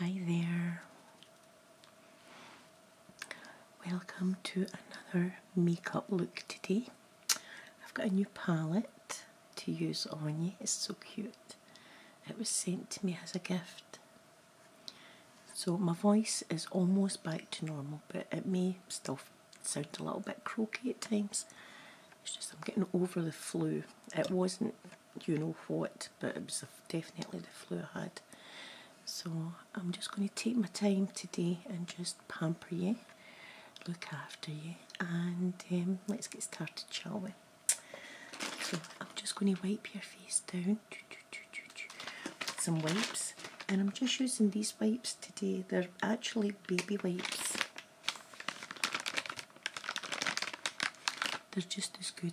Hi there. Welcome to another makeup look today. I've got a new palette to use on you. It's so cute. It was sent to me as a gift so my voice is almost back to normal, but it may still sound a little bit croaky at times. It's just I'm getting over the flu. It wasn't you know what, but it was definitely the flu I had. So I'm just going to take my time today and just pamper you, look after you, and um, let's get started, shall we? So I'm just going to wipe your face down some wipes and I'm just using these wipes today. They're actually baby wipes. They're just as good.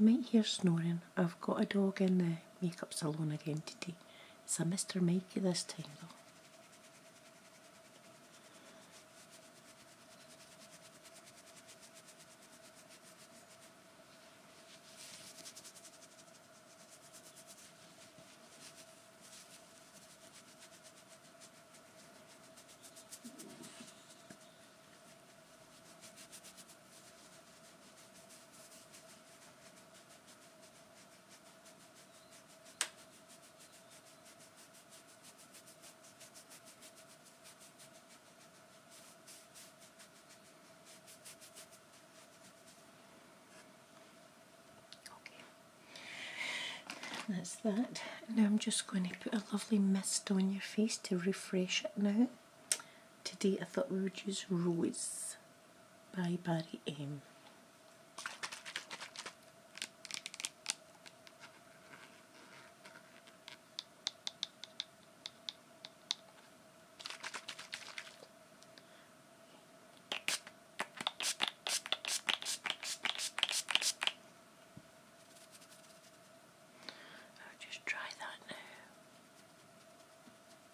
You might hear snoring. I've got a dog in the makeup salon again today semester make da stringo. Okay, that's that. Now I'm just going to put a lovely mist on your face to refresh it now. Today I thought we would use rose. Bye Body M. i just try that now.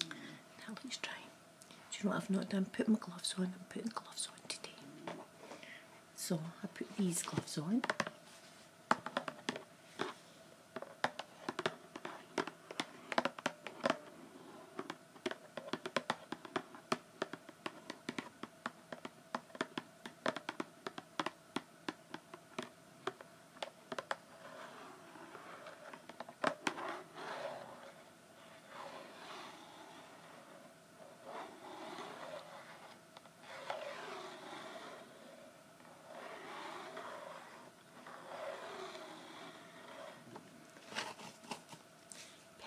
That looks dry. Do you know what I've not done? Put my gloves on. I'm putting gloves on today. So I put these gloves on.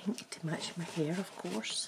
Pink to match my hair, of course.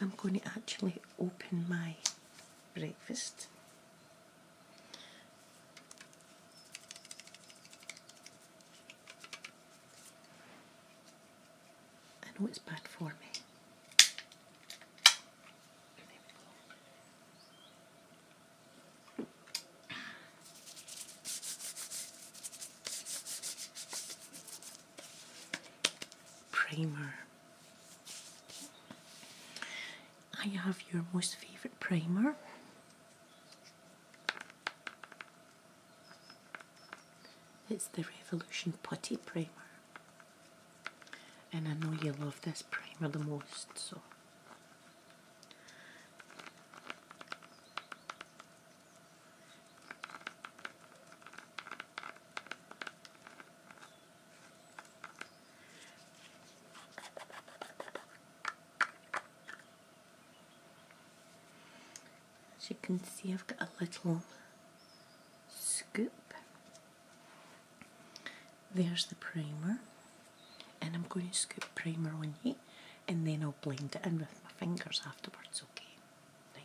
I'm going to actually open my breakfast. I know it's bad for me primer. I have your most favorite primer. It's the Revolution Putty Primer. And I know you love this primer the most, so. As you can see, I've got a little scoop. There's the primer, and I'm going to scoop primer on here, and then I'll blend it in with my fingers afterwards, okay?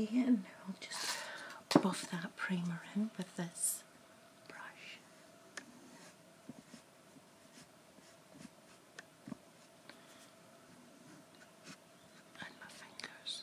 Okay, and I'll just buff that primer in with this brush. And my fingers.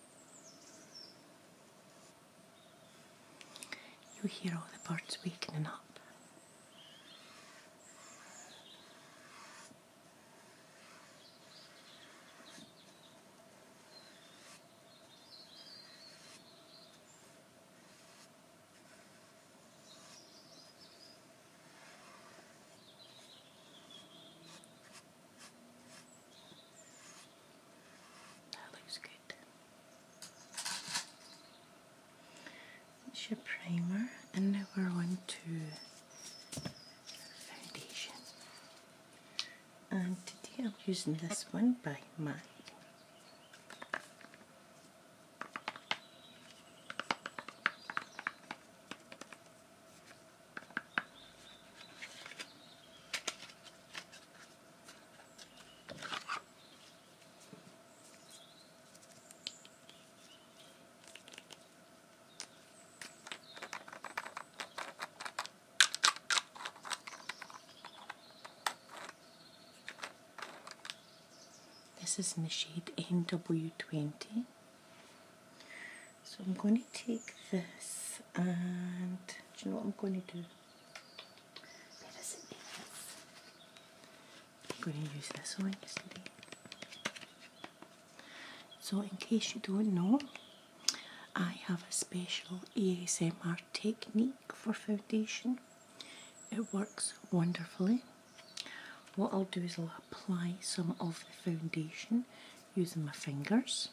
you hear all the birds wakening up. That looks good. It's your primer, and now we're on to foundation. And today I'm using this one by MAC. This is in the shade NW20. So I'm going to take this and do you know what I'm going to do? I'm going to use this honestly. So in case you don't know, I have a special ASMR technique for foundation. It works wonderfully. What I'll do is I'll apply some of the foundation using my fingers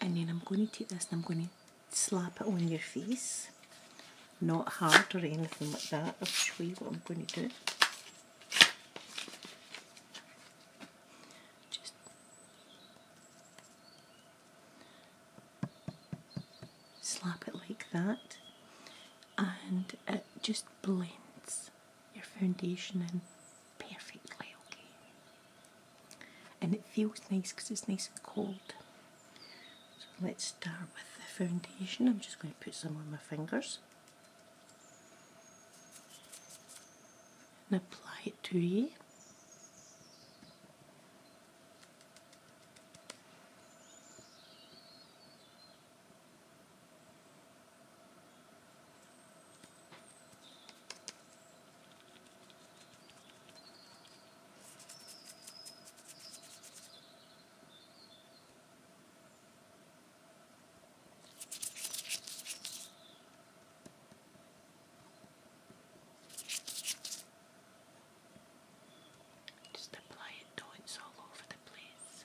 and then I'm going to take this and I'm going to slap it on your face not hard or anything like that I'll show you what I'm going to do Just slap it like that and it just blends your foundation in perfectly okay. And it feels nice because it's nice and cold. So let's start with the foundation. I'm just going to put some on my fingers. And apply it to you. Just apply it dots all over the place.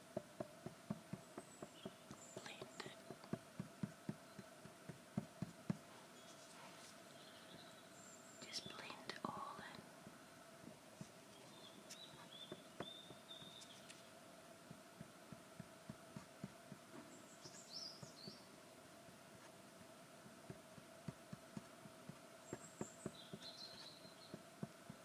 Blended. Just blend it all in. Just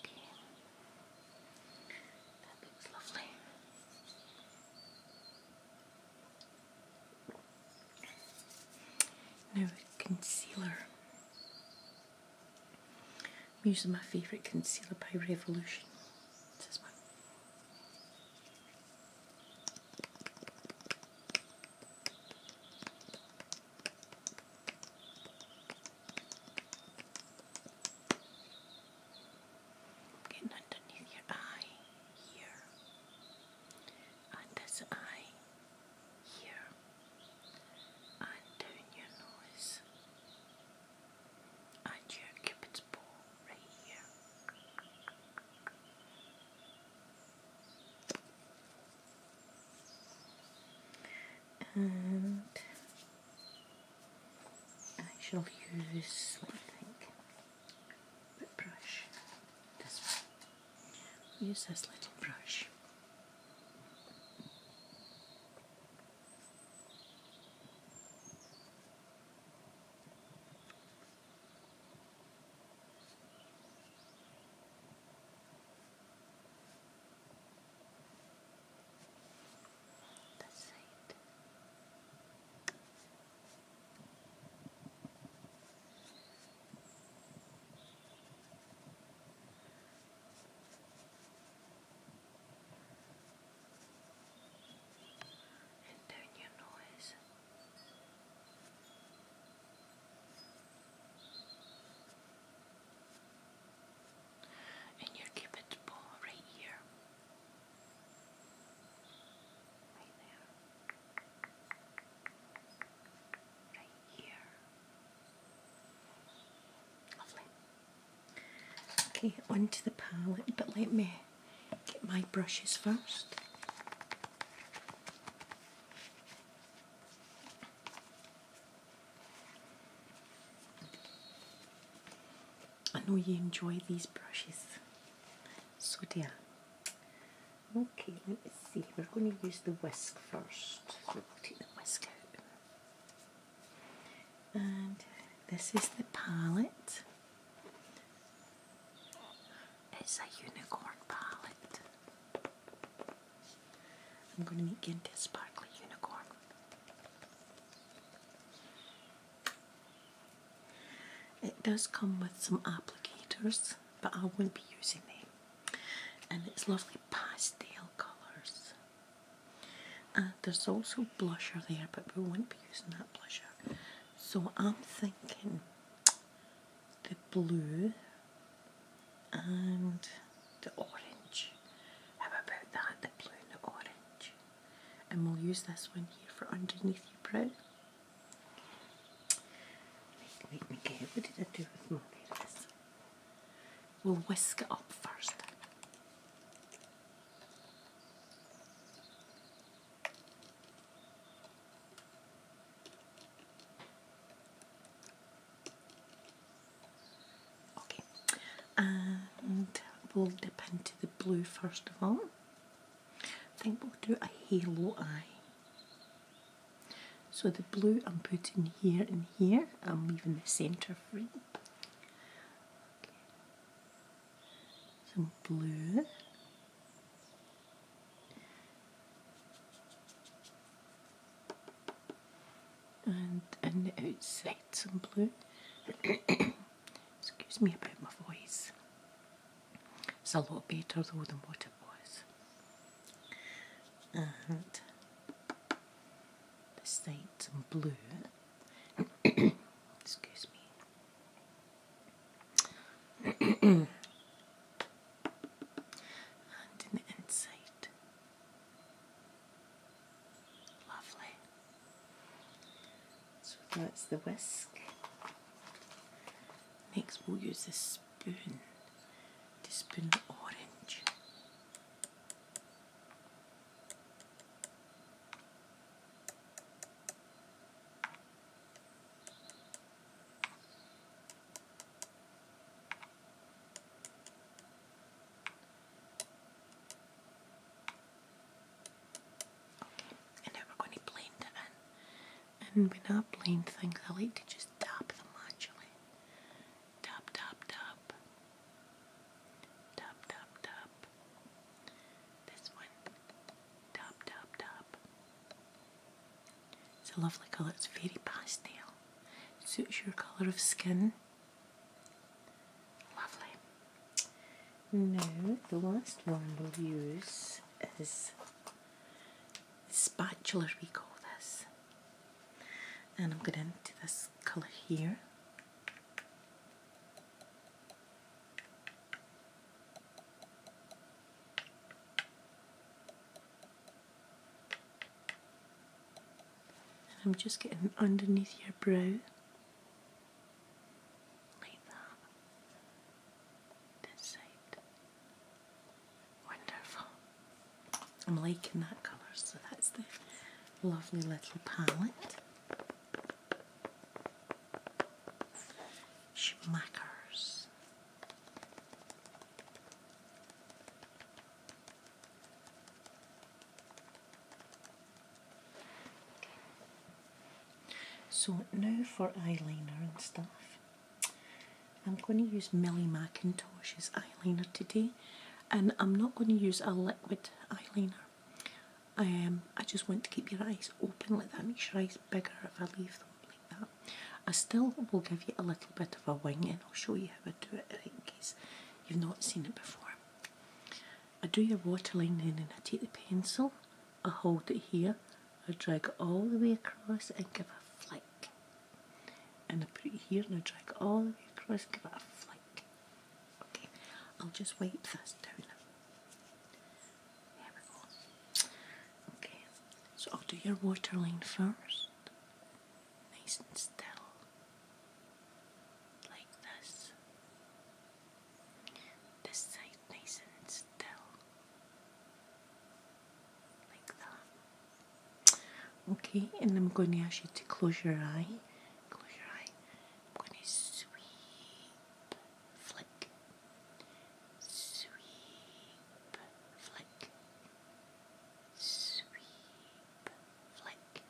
Okay. That looks lovely. Now, concealer. I'm using my favourite concealer by Revolution. Getting underneath your eye here, and this eye here, and down your nose and your cupid's bow right here. And I shall use, let me think, bit brush, this one. Use this little brush. The side. Good and turn your noise and your cupid's bow right here. Right there. Right here. Lovely. Okay, onto the palette, but let me get my brushes first. I know you enjoy these brushes, so do Okay, let me see. We're going to use the whisk first. So we'll the whisk and this is the palette it's a unicorn palette I'm going to make into a sparkly unicorn it does come with some applicators but I won't be using them and it's lovely pastel colours uh, there's also blusher there, but we won't be using that blusher. So I'm thinking the blue and the orange. How about that? The blue and the orange. And we'll use this one here for underneath your brow. Wait, Miguel, what did I do with my this? We'll whisk it up first. Okay, and we'll dip into the blue first of all. I think we'll do a halo eye. So the blue I'm putting here and here, I'm leaving the centre some blue. And on the outside, some blue. Excuse me about my voice. It's a lot better though than what it was. And this side's blue. Excuse me. and in the inside, lovely. So that's the whisk. Next, we'll use the spoon to spoon the orange. And now we're going to blend it in. And when I blend things, I like to just tap them actually tap tap tap tap tap tap this one tap tap tap it's a lovely colour it's very pastel suits your colour of skin lovely now the last one we'll use is spatula we call this and I'm gonna do this color here and I'm just getting underneath your brow like that this side Wonderful. I'm liking that colour, so that's the lovely little palette. Schmackers. So now for eyeliner and stuff. I'm going to use Millie McIntosh's eyeliner today and I'm not going to use a liquid eyeliner. Um, I just want to keep your eyes open like that, makes your eyes bigger if I leave them like that. I still will give you a little bit of a wing and I'll show you how I do it in case you've not seen it before. I do your waterline then and I take the pencil, I hold it here, I drag all the way across and give a flick and I put it here and I drag it all the way across, give it a flick. Okay, I'll just wipe this down. There we go. Okay, so I'll do your waterline first. Nice and still. Like this. This side nice and still. Like that. Okay, and I'm going to ask you to close your eye. Close your eye. I'm going to sweep, flick, sweep, flick, sweep, flick.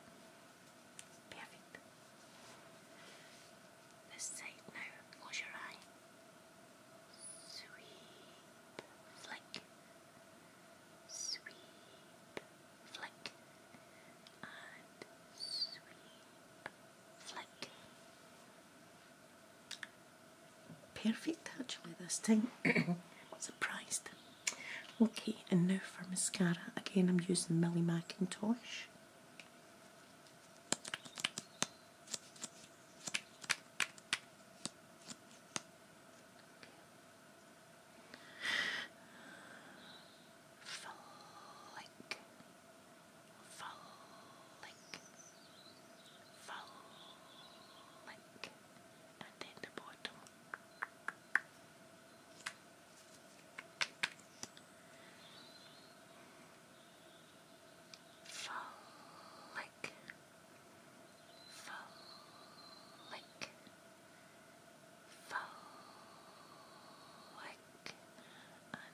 Perfect. This side now. Close your eye. Sweep, flick, sweep, flick, and sweep, flick. Perfect actually this time. Surprised. Okay, and now for mascara. Again, I'm using Millie Macintosh. Flick. Flick. Flick. And then the bottom. Flick flick, flick, flick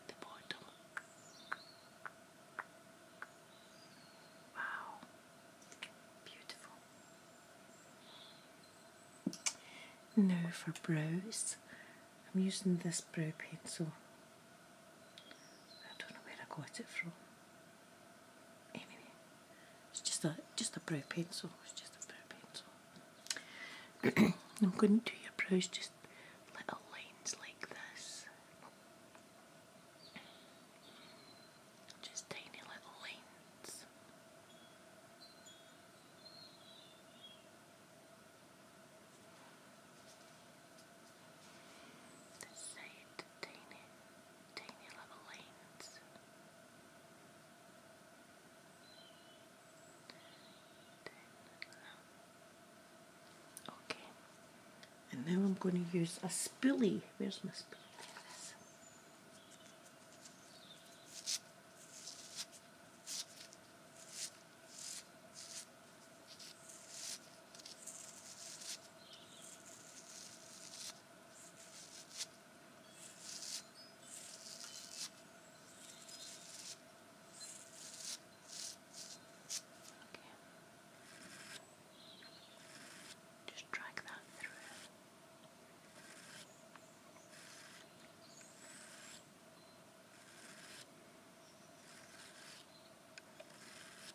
the bottom. Wow, beautiful. Now for brows, I'm using this brow pencil. I don't know where I got it from. Eh, anyway, it's just a just a brow pencil. It's just a brow pencil. I'm going to do your brows just little lines like this. Just tiny little lines tiny, tiny little lanes. Okay, and now I'm going to use a spoolie. Where's my spoolie? Just drag that through. Okay.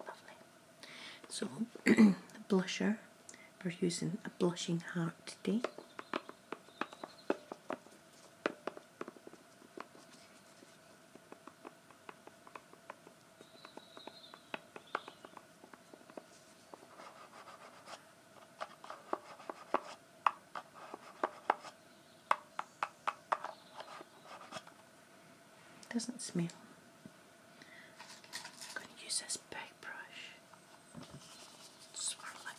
Lovely. So, blusher. We're using a blushing heart today. Doesn't smell. going to use this big brush. Swirl it.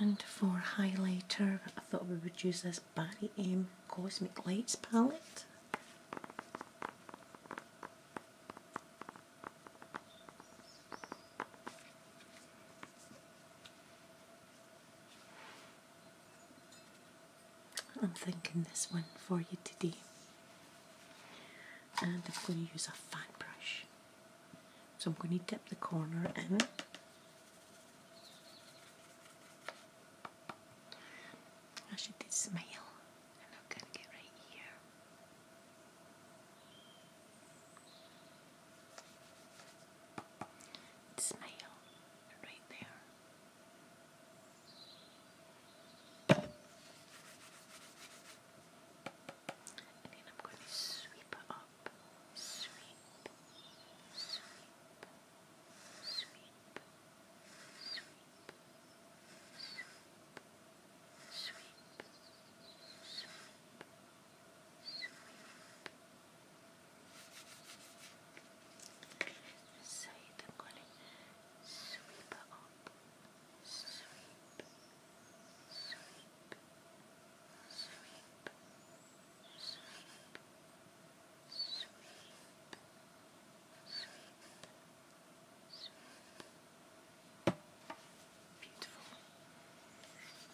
And for highlighter, I thought we would use this Barry M Cosmic Lights palette. I'm thinking this one for you today. And I'm going to use a fan brush. So I'm going to dip the corner in. I should smile. And I'm going to get right here. Smile right there. And then I'm going to sweep up, sweep, sweep, sweep, sweep, sweep, sweep, sweep, sweep. Side, I'm going to sweep it up, sweep, sweep, sweep, sweep, sweep, sweep, sweep. Beautiful.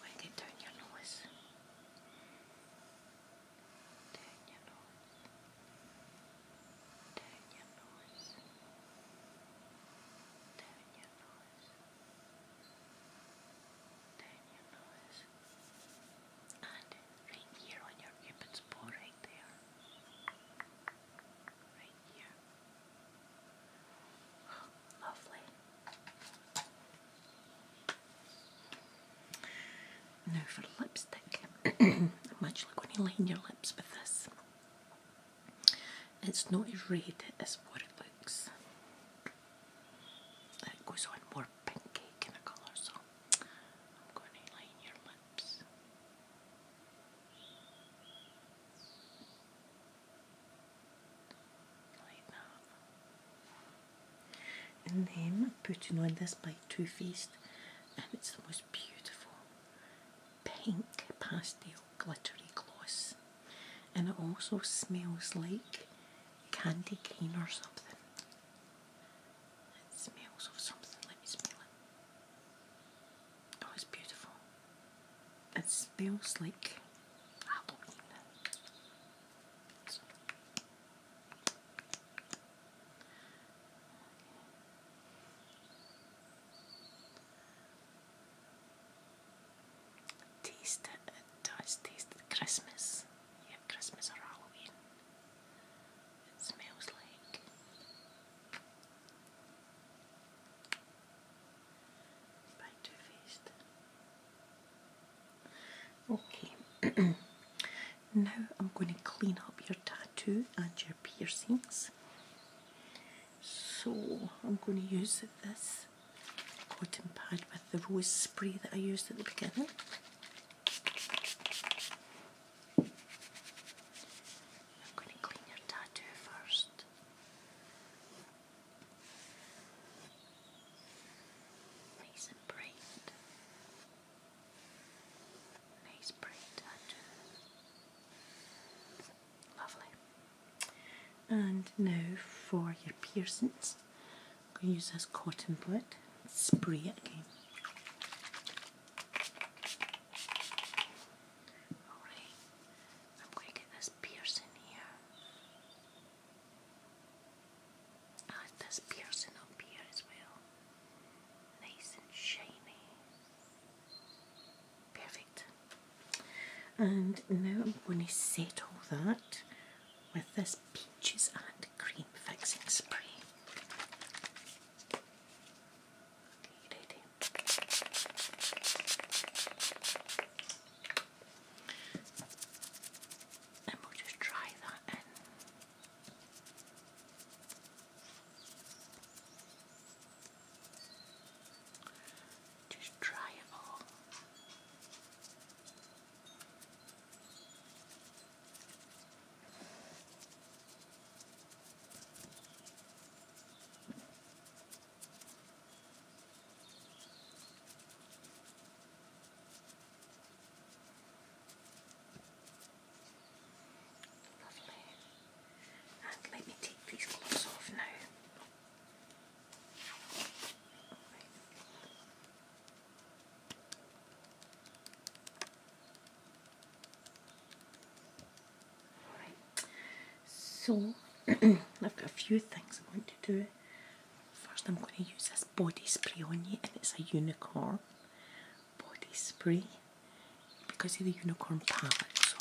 When you turn your nose. Good. Turn your nose. Turn your nose. Turn your nose. And right here on your cupid's bow, right there. Right here. Lovely. Now for lipstick, much like when you line your lips with this, it's not as red as what it looks. It goes on more pinky kind of colour, so I'm going to line your lips. Like and then putting on this by Too Faced, and it's the most beautiful pink pastel glittery gloss. And it also smells like candy cane or something. It smells of something, let me smell it. Oh, it's beautiful. It smells like Halloween. Taste it, it does taste Christmas. Yeah, Christmas or Halloween. It smells like by Too Faced. Okay, now I'm going to clean up your tattoo and your piercings. So I'm going to use this cotton pad with the rose spray that I used at the beginning. I'm going to clean your tattoo first. Nice and bright. Nice bright Lovely. And now for your piercings, I'm going to use this cotton bud spray again. Alright, I'm going to get this piercing here Oh, ah, it does piercing up here well. Nice and shiny. Perfect. And now I'm going to set all that with this peaches and cream fixing spray. Okay, ready and we'll just try that Just try it all. Lovely. And let me take these gloves off now. Alright, so I've got a few things I want to do. First, I'm going to use this body spray on you, and it's a unicorn body spray because of the unicorn palette. So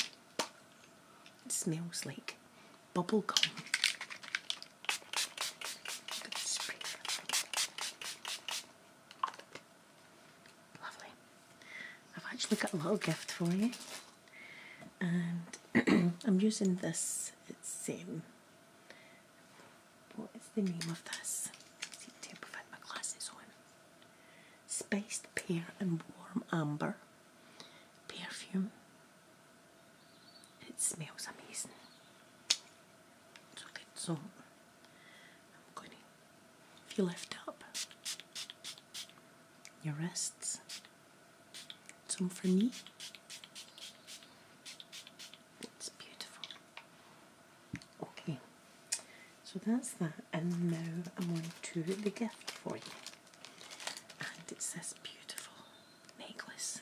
it smells like bubble gum. Lovely. I've actually got a little gift for you, and I'm using this. It's same. Um, what is the name of this? See, tip I've had my glasses on. Spiced pear and warm amber perfume. It smells amazing. So good. So I'm going to, if you lift up your wrists, some for me. It's beautiful. Okay, so that's that, and now I'm on to the gift for you. And it's this beautiful necklace.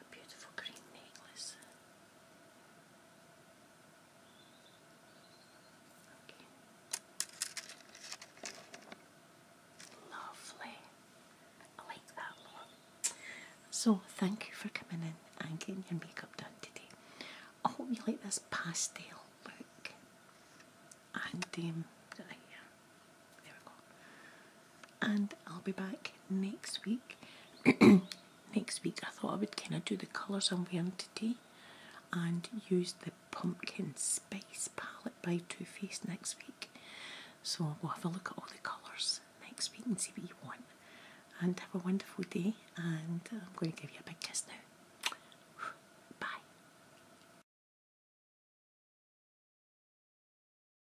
a beautiful green necklace. Lovely. I like that a So, thank you for coming in and getting your makeup done today. I hope you like this pastel look. And um, right here. There we go. And I'll be back next week. next week I thought I would kind of do the colours I'm wearing today and use the Pumpkin Spice palette by Too Faced next week. So we'll have a look at all the colours next week and see what you want. And have a wonderful day and I'm going to give you a big kiss now. Bye.